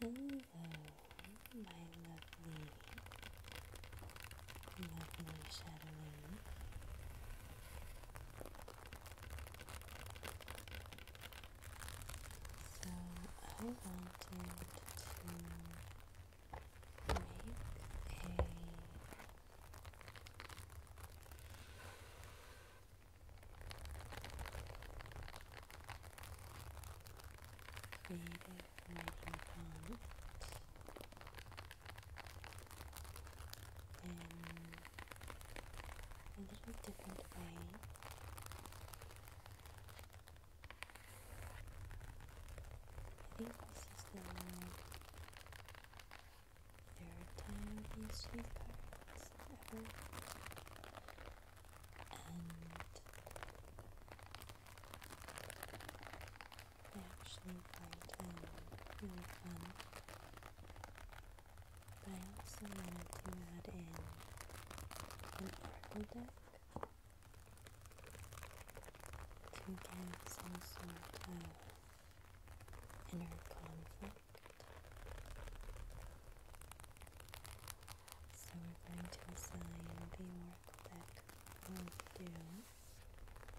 Hello, my lovely, lovely shadowing. So I wanted to make a in a little different way. I think this is the third time these three cards ever and actually find him really fun. But I also wanted to add in an oracle deck to give some sort of inner conflict. So we're going to assign the oracle deck will do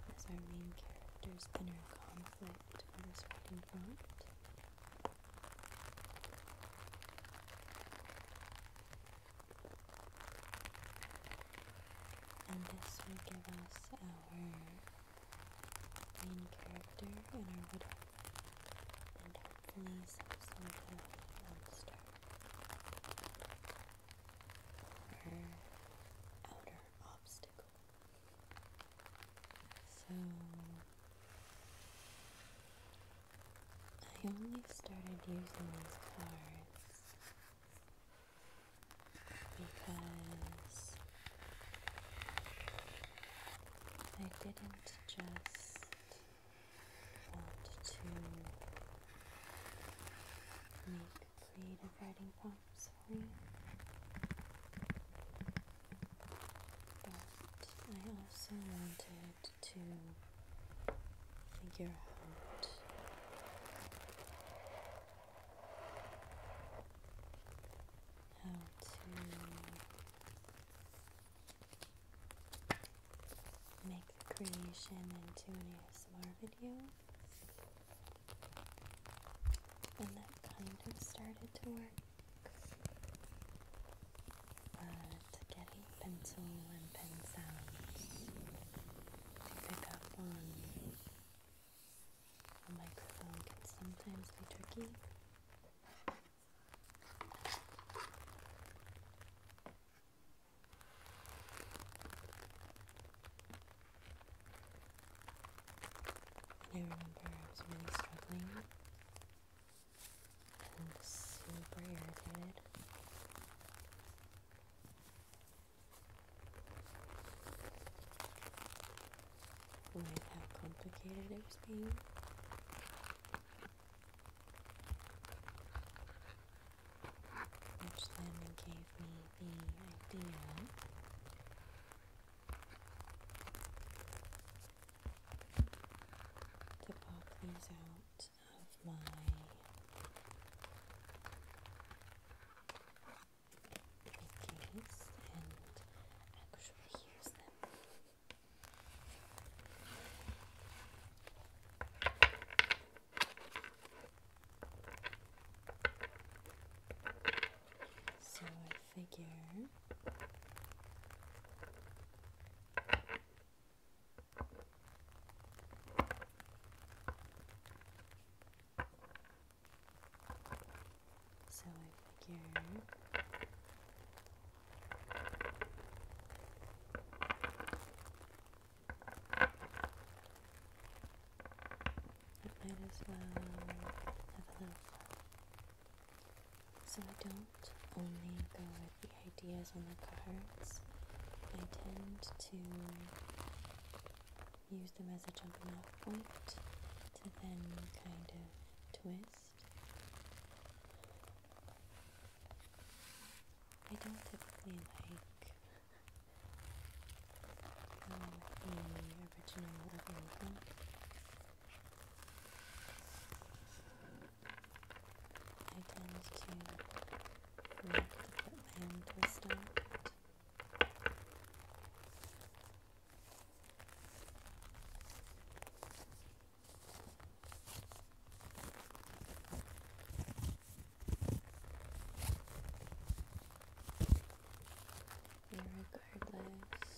as our main character's inner conflict for this writing prompt. And this will give us our main character and our and hopefully obstacle. So I only started using these cards because I didn't just want to make creative writing prompts for you. But I also wanted to figure out how to make the creation into an ASMR video. And that kind of started to work. But getting pencil and pen sounds to pick up on a microphone can sometimes be tricky. I remember I was really struggling I was super irritated. With how complicated it was being which then gave me the idea to pop these out of my case and actually use them. So I figure so I figure might as well have a little fun. So I don't only go with the ideas on the cards, I tend to use them as a jumping off point to then kind of twist I don't typically like um, the original of anything. I tend to like to put my own twist on it. And regardless of what it is.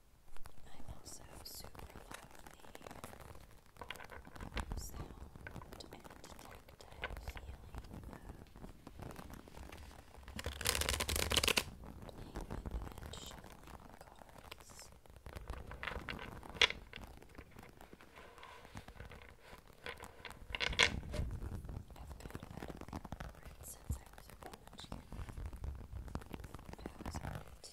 I'm also super love the sound and tactile feeling playing and shuffling cards. I've kind of had since I was a college I was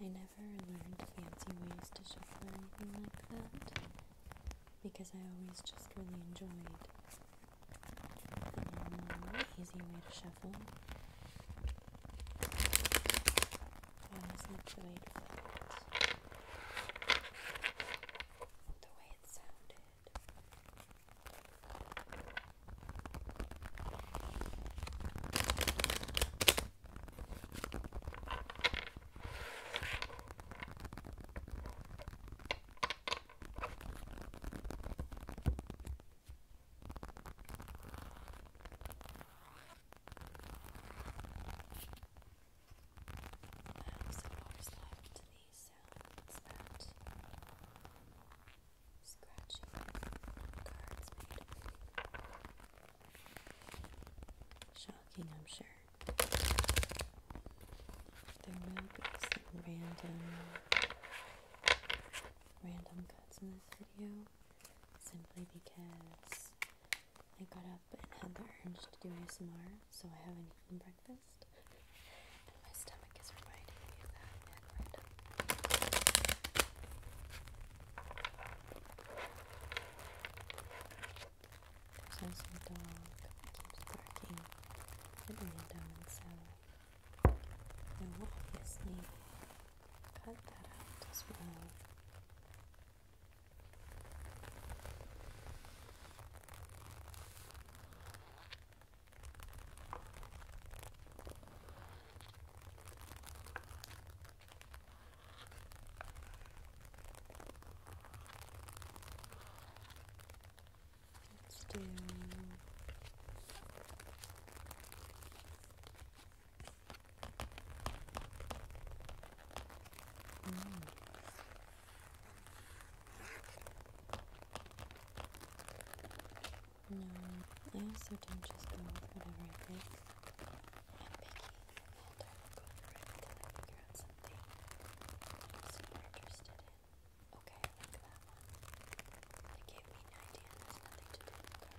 I never learned fancy ways to shuffle or anything like that because I always just really enjoyed the normal, easy way to shuffle. Well, that's not the way to play it. The way it sounded. I I also always these sounds that cards Shocking, I'm sure. There will be some random, random cuts in this simply because I got up and had the urge to do ASMR, so I haven't eaten breakfast. And my stomach is reminding me of that and right There's also a dog that keeps barking I will obviously cut that out as well. Let's do Mm. No, I also don't just go with whatever I think. I'm picky I will go for it until I figure out something I'm super interested in. Okay, like that one. It gave me an idea and nothing to do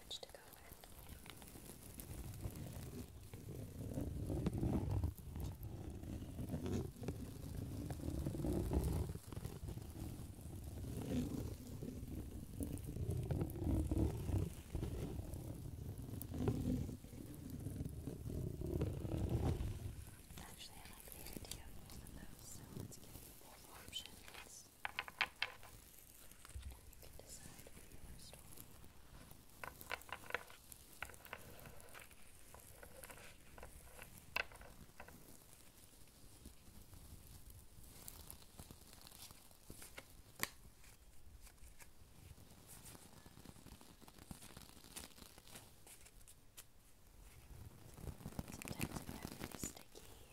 which to go with. Actually, I like the idea of both of those, so let's give both options. And you can decide where you want to store them. Sometimes I have really sticky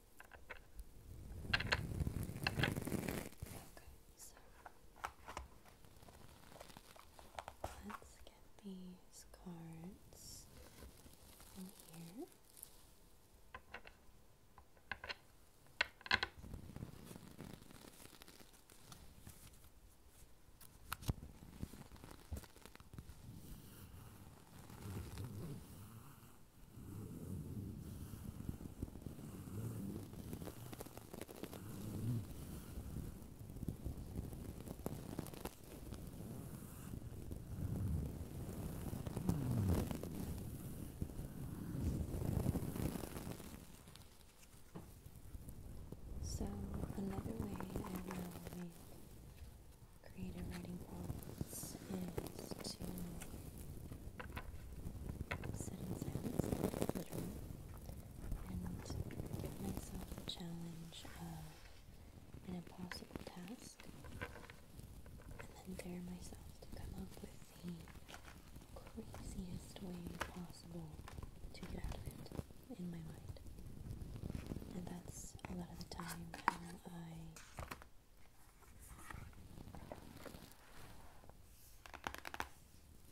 so let's get these cards in here. So another way I will make creative writing prompts is to sit in silence, literally, and give myself the challenge of an impossible task, and then dare myself to come up with the craziest way possible to get out of it in my mind. And that's a lot of the time how I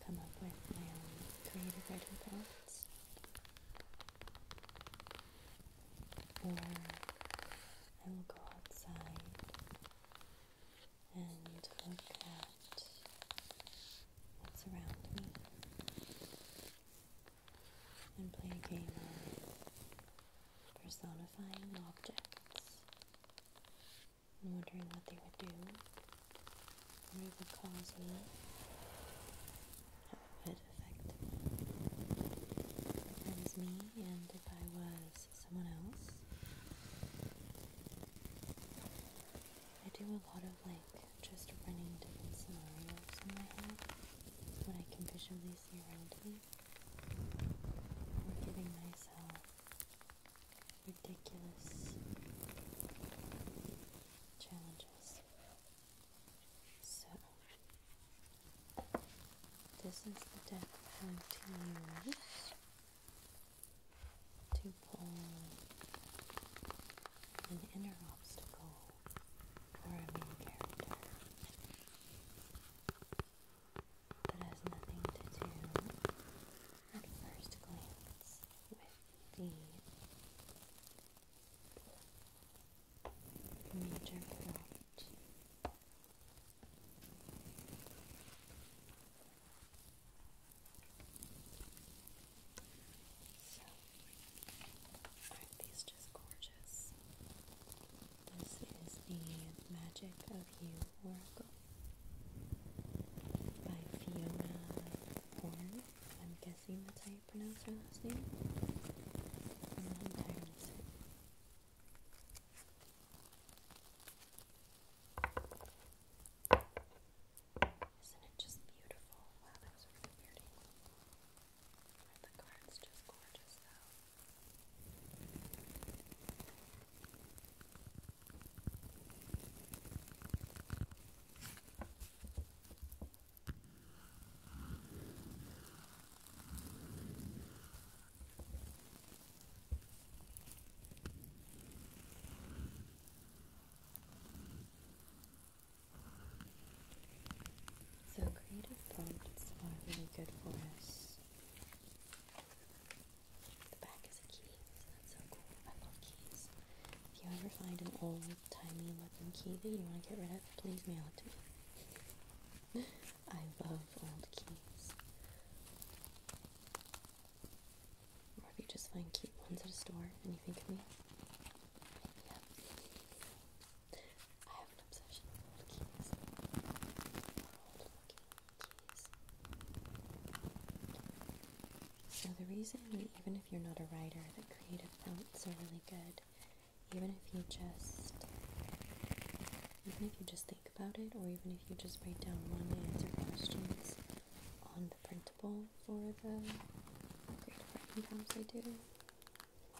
come up with my own creative writing prompts or I will go outside and look at what's around me and play a game personifying objects wondering what they would do, what it would cause me, how it would affect me and if I was someone else. I do a lot of like just running different scenarios in my head, what I can visually see around me for giving myself ridiculous challenges. So, this is the deck I'm going to use to pull an inner obstacle for a main character that has nothing to do at first glance with the major plot. So, aren't these just gorgeous? This is the Magic of You Oracle by Fiona Horn. I'm guessing that's how you pronounce her last name. Isn't it just beautiful? Wow, that was really weird. The card's just gorgeous though. So creative prompts are really good for us the back is a key, that's so cool. I love keys. If you ever find an old-timey looking key that you want to get rid of, please mail it to me. I love old keys. Or if you just find cute ones at a store and you think of me. So the reason, even if you're not a writer, that creative belts are really good. Even if you just, even if you just think about it, or even if you just write down one answer questions on the printable for the creative prompts I do,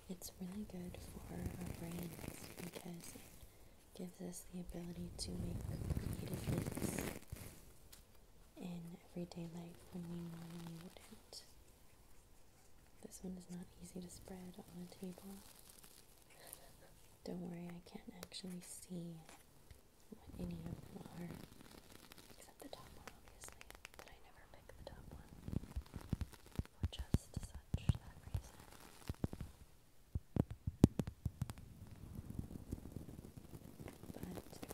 it's really good for our brains because gives us the ability to make creative links in everyday life when we normally wouldn't. This one is not easy to spread on a table. Don't worry, I can't actually see what any of them are. Except the top one, obviously, but I never pick the top one for just such that reason.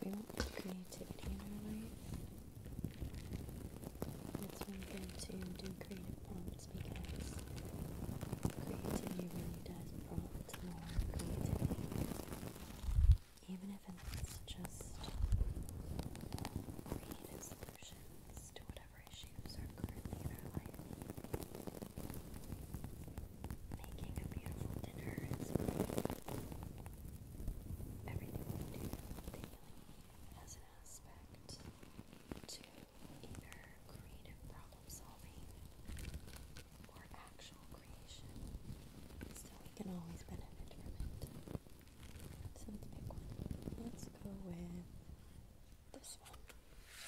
But we want creativity in it's really good to do creative prompts because creativity really does prompt more creativity. Even if it's just creative solutions to whatever whatever issues are currently in our life. Making a beautiful dinner is everything we do daily an aspect to either creative problem solving or actual creation. So we can always benefit from it. So let's pick one. Let's go with this one.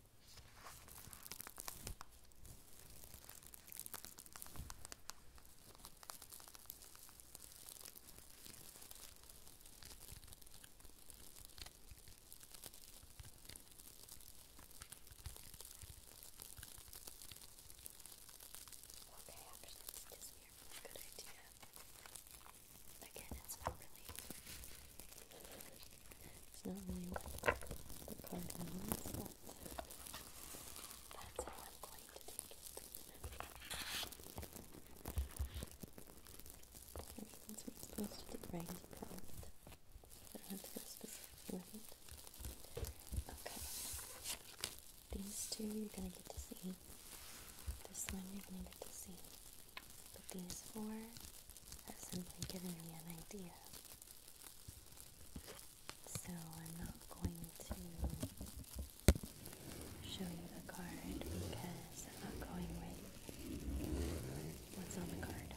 Okay, actually, this gives a good idea. Again, it's not really, it's not really what the card means, that's how I'm going to take it. Since we're supposed to do brain prompt, I don't have to go specific with it. Okay. These two you're going to get to see. This one you're going to get to see. But these four have simply given me an idea so I'm not going to show you the card because I'm not going with what's on the card.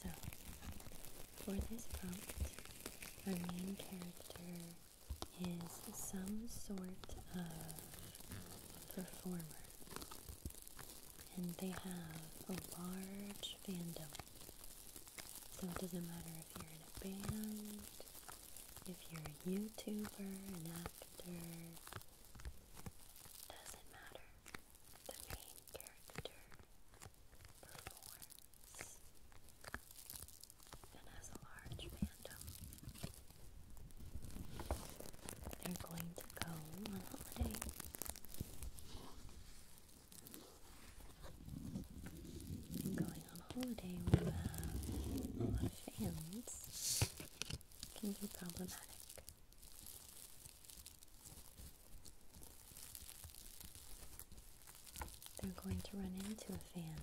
So, for this prompt, our main character is some sort of performer, and they have a large fandom. So it doesn't matter if you're in a band, if you're a YouTuber, an actor, doesn't matter. The main character performs and has a large fandom. They're going to go on holiday. going on holiday with uh, a lot of fans can be problematic. They're going to run into a fan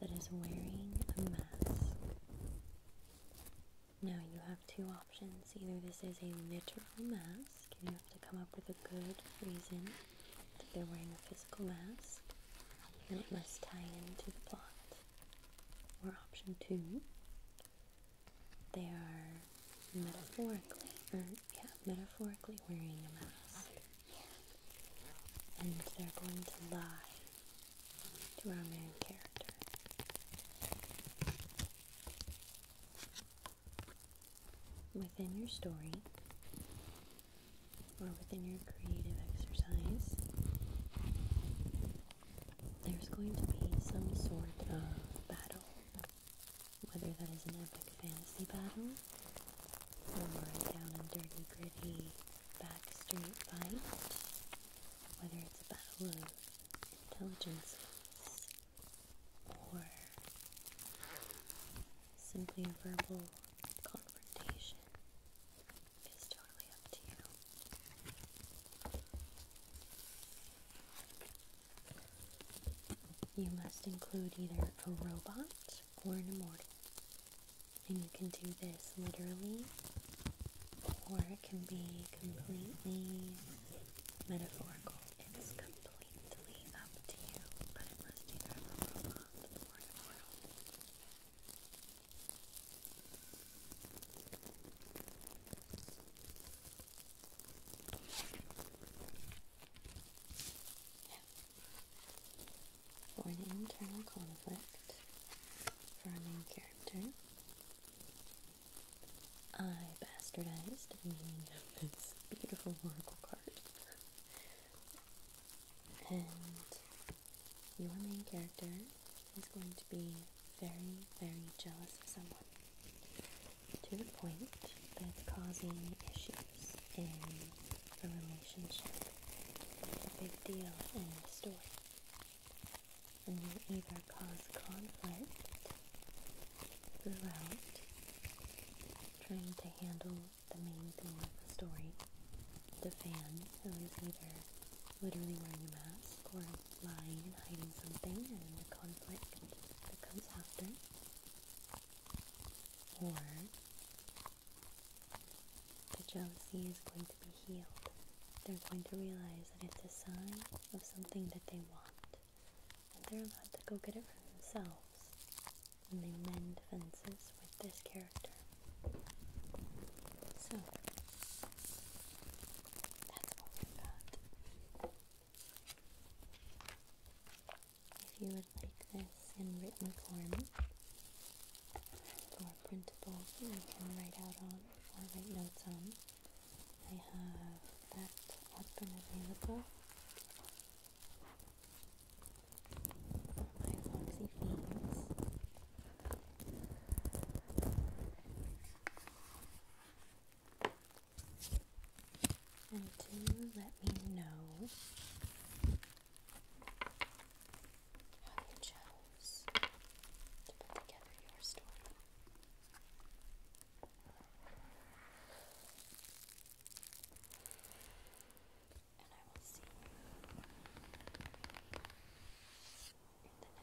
that is wearing a mask. Now you have two options. Either this is a literal mask, and you have to come up with a good reason that they're wearing a physical mask, and it must tie into the plot. Or option two, they are metaphorically, or yeah, metaphorically wearing a mask. And they're going to lie to our main character. Within your story, or within your creative exercise, there's going to be some sort of battle whether that is an epic fantasy battle or a down and dirty gritty backstreet fight, whether it's a battle of intelligences or simply a verbal confrontation, is totally up to you. You must include either a robot or an immortal. And you can do this literally, or it can be completely metaphorical. It's completely up to you, but it must either a robot or an immortal for an internal conflict for our main character, I bastardized the meaning of this beautiful oracle card. And your main character is going to be very, very jealous of someone to the point that's causing issues in the relationship. It's a big deal in the story. And will either cause conflict throughout, trying to handle the main theme of the story, the fan who is either literally wearing a mask or lying and hiding something and the conflict that comes after or the jealousy is going to be healed. They're going to realize that it's a sign of something that they want, and they're allowed to go get it for themselves And they mend fences with this character. So, that's all we've got if you would like this in written form or printable you can write out on or write notes on, I have that up and available. My Foxy Fiends. And do let me know how you chose to put your story. And I will see you in the next video.